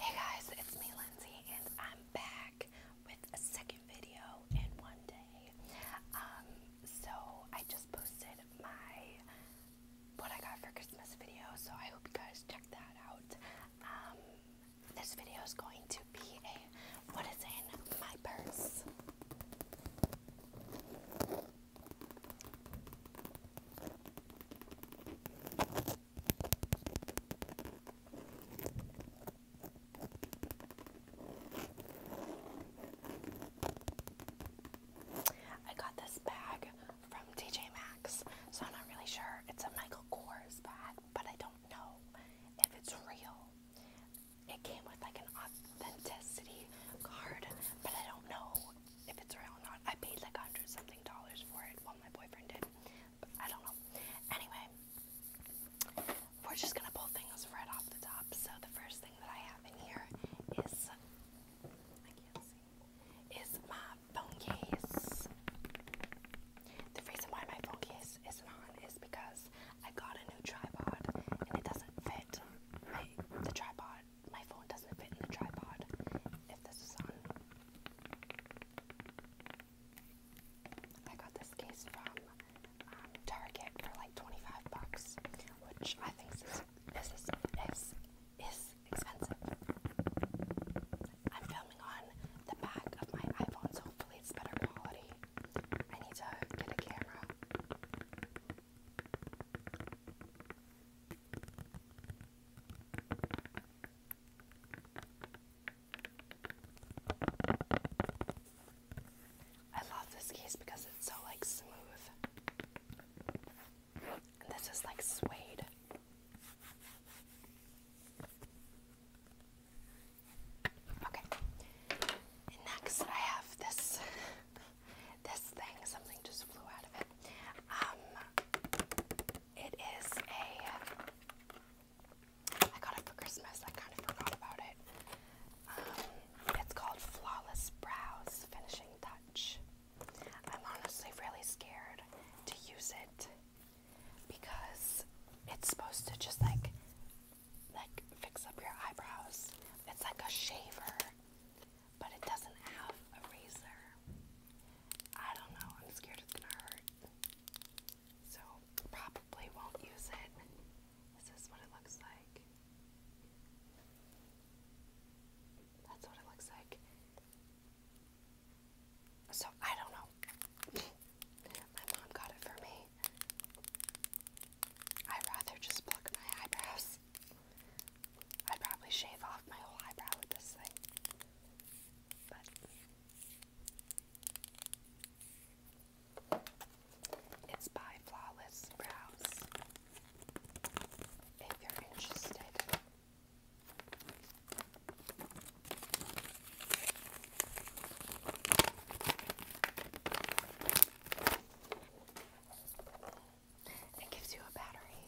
Hey guys, it's me Lindsay and I'm back with a second video in one day. Um, so I just posted my what I got for Christmas video, so I hope you guys check that out. Um, this video is going to be a what is in my purse. I got this bag from TJ Maxx, so I'm not really sure. It's a Michael Kors bag, but I don't know if it's real. It came with like an authenticity card, but I don't know if it's real or not. I paid like a hundred dollars for it. Well, my boyfriend did. I don't know. Anyway, we're just gonna pull things right off the top. So the first thing that I have in here is my phone case. The reason why my phone case isn't on is because I got a new tripod and it doesn't fit the tripod. My phone doesn't fit in the tripod. If this is on, I got this case from um, Target for like 25 bucks, which I think is is, is, is expensive. I'm filming on the back of my iPhone, so hopefully it's better quality. I need to get a camera. I love this case because it's so like smooth. this is like suede. Okay. next I have this this thing. Something just flew out of it. Um it is a. I got it for Christmas. I kind of forgot about it. Um, it's called Flawless Brows Finishing Touch. I'm honestly really scared to use it because it's supposed to just like like fix up your eyebrows. It's like a shaver, but it doesn't have a razor. I don't know. I'm scared it's gonna hurt. So, probably won't use it. This what it looks like. That's what it looks like. So, I don't know. my mom got it for me. I'd rather just pluck my eyebrows. I'd probably shave off my whole eyebrow with this thing. But it's by Flawless Brows. If you're interested. It gives you a battery.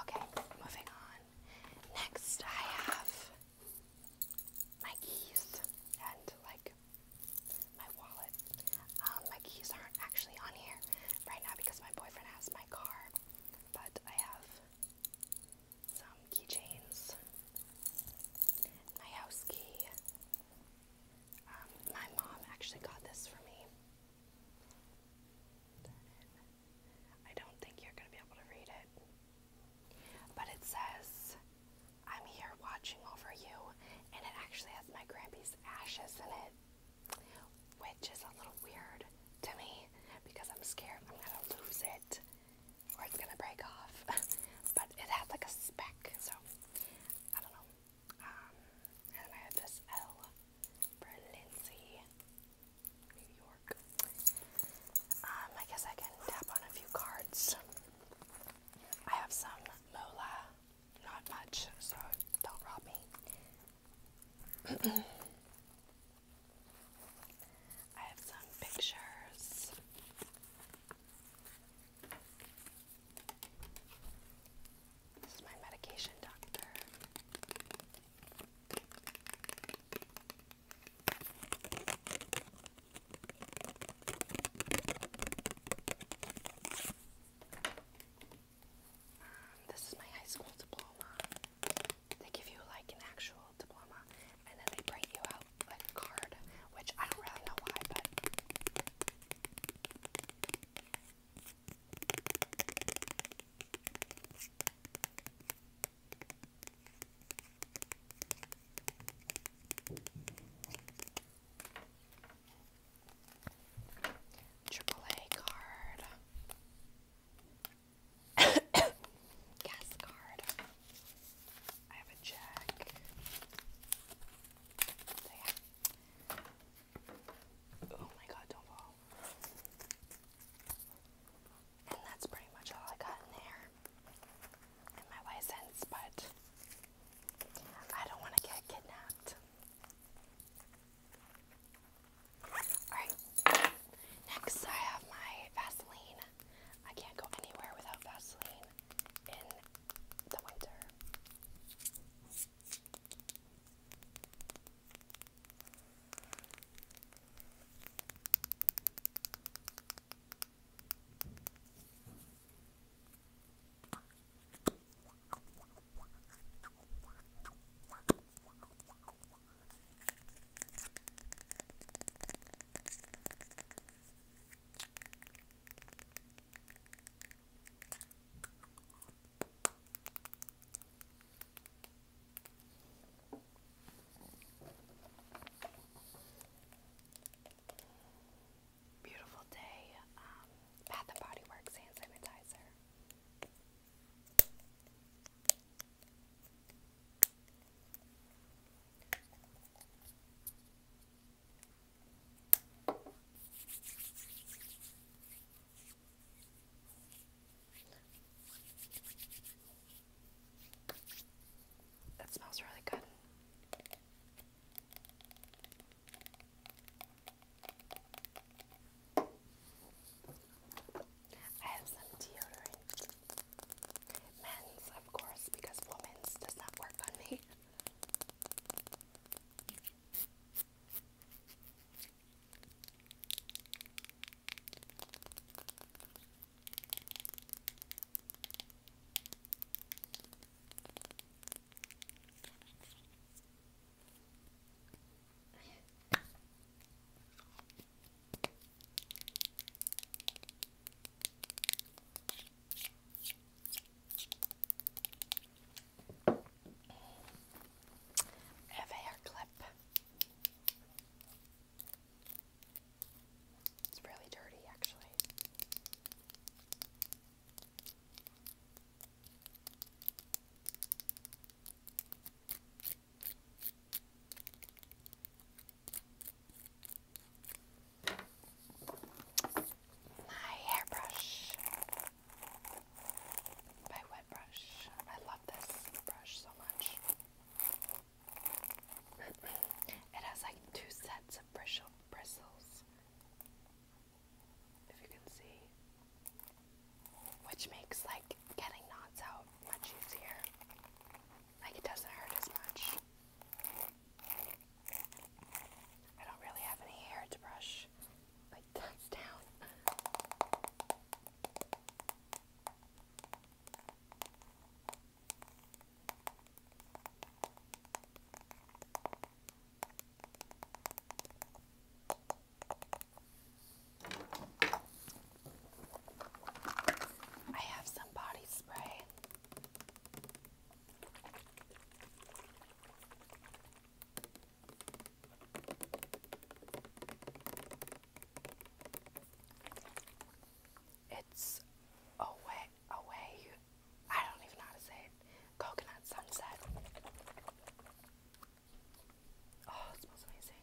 Okay, moving on. Next, I have my keys and like my wallet. Um, my keys aren't actually on here right now because my boyfriend has my car, but I have some keychains, my house key. Um, my mom actually got this for me. I don't think you're going to be able to read it. But it says, I'm here watching over you, and it actually has my Grampy's ashes in it, which is a little weird to me because I'm scared I'm gonna lose it or it's gonna break off. but it had like a speck, so I don't know. Um, and I have this L for Lindsay, New York. Um, I guess I can tap on a few cards. I have some Mola, not much, so don't rob me. I have some pictures. This is my medication doctor. Um, this is my high school diploma. They give you like an actual diploma, and then they print you out a card, which I don't really know why, but. AAA card. Gas card. I have a check. Oh my god, don't fall. And that's pretty much all I got in there. And my license, but I don't want to get kidnapped. Alright. Next, I have my Vaseline. I can't go anywhere without Vaseline in the winter. Beautiful day. Bath um, and Body Works hand sanitizer. That smells really good. I have some deodorant. Men's, of course, because women's does not work on me. Have a hair clip. It's really dirty, actually. My hairbrush by Wet Brush. I love this brush so much. it has like two sets of bristle bristles. If you can see which makes like getting knots out much easier. Like it doesn't hurt as much. I don't really have any hair to brush like that's I have some body spray. It's away, away. I don't even know how to say it. Coconut sunset. Oh, it smells amazing.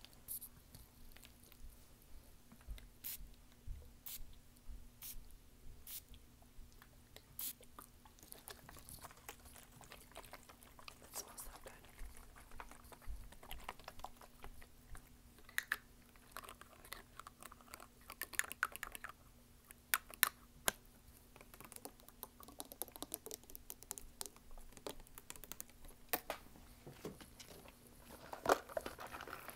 That smells so good.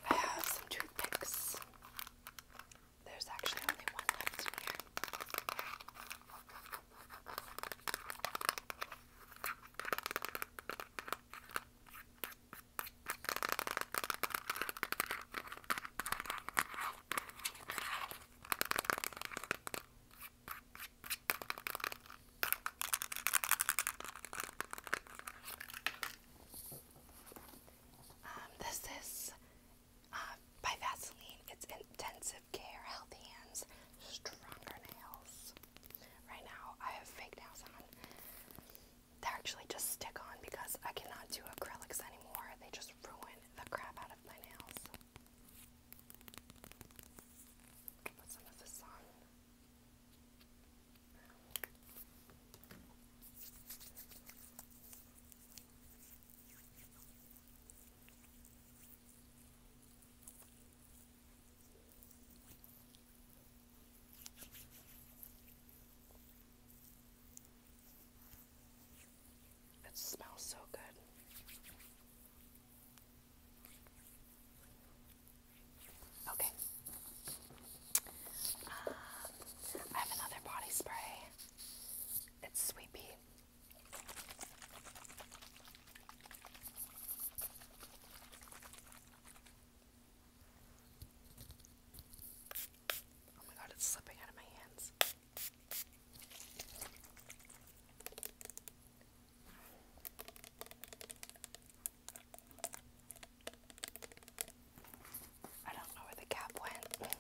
I have some toothpicks. There's actually only one left in here. Um, this is uh, by Vaseline. It's intensive care, healthy hands, stronger nails. Right now, I have fake nails on. They're actually just stick on because I cannot do acrylics anymore. They just ruin the crap out of my nails. Put some of it smells so good. Okay. Uh, I have another body spray. It's Sweet Oh my god, it's slipping out of my hands. I don't know where the cap went.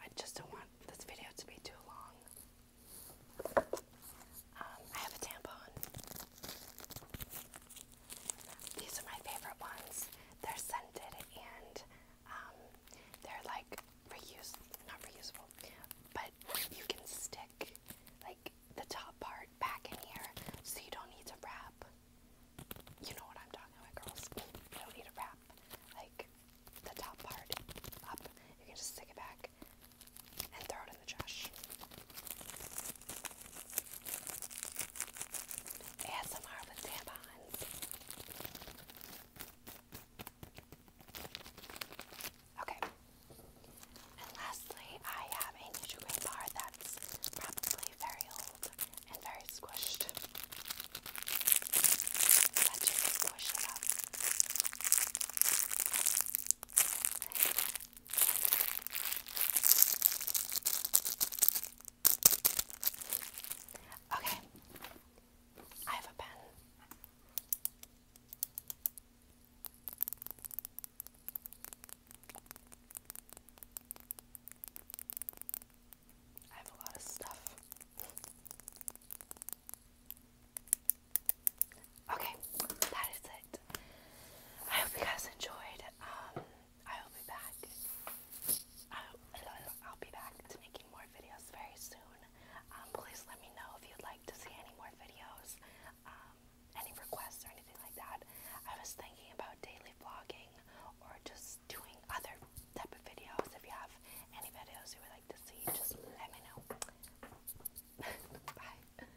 I just don't want this video to be too long. Um, I have a tampon. These are my favorite ones. They're scented and um, they're like reuse, not reusable, but you can stick like the top part back in here so you don't need to wrap. You know what I'm talking about, girls. You don't need to wrap like the top part up. You can just stick it back and throw it ASMR with tampons. Okay. And lastly, I have a Nutri-Grain bar that's probably very old and very squished. Let's just squish Okay, I have a pen. I have a lot of stuff. Okay, that is it. I hope you guys enjoyed. Um, I will be back. I'll, be back to making more videos very soon. Um, please let me know if you'd like to see any more videos, um, any requests or anything like that. I was thinking about daily vlogging or just doing other type of videos. If you have any videos you would like to see, just let me know. Bye.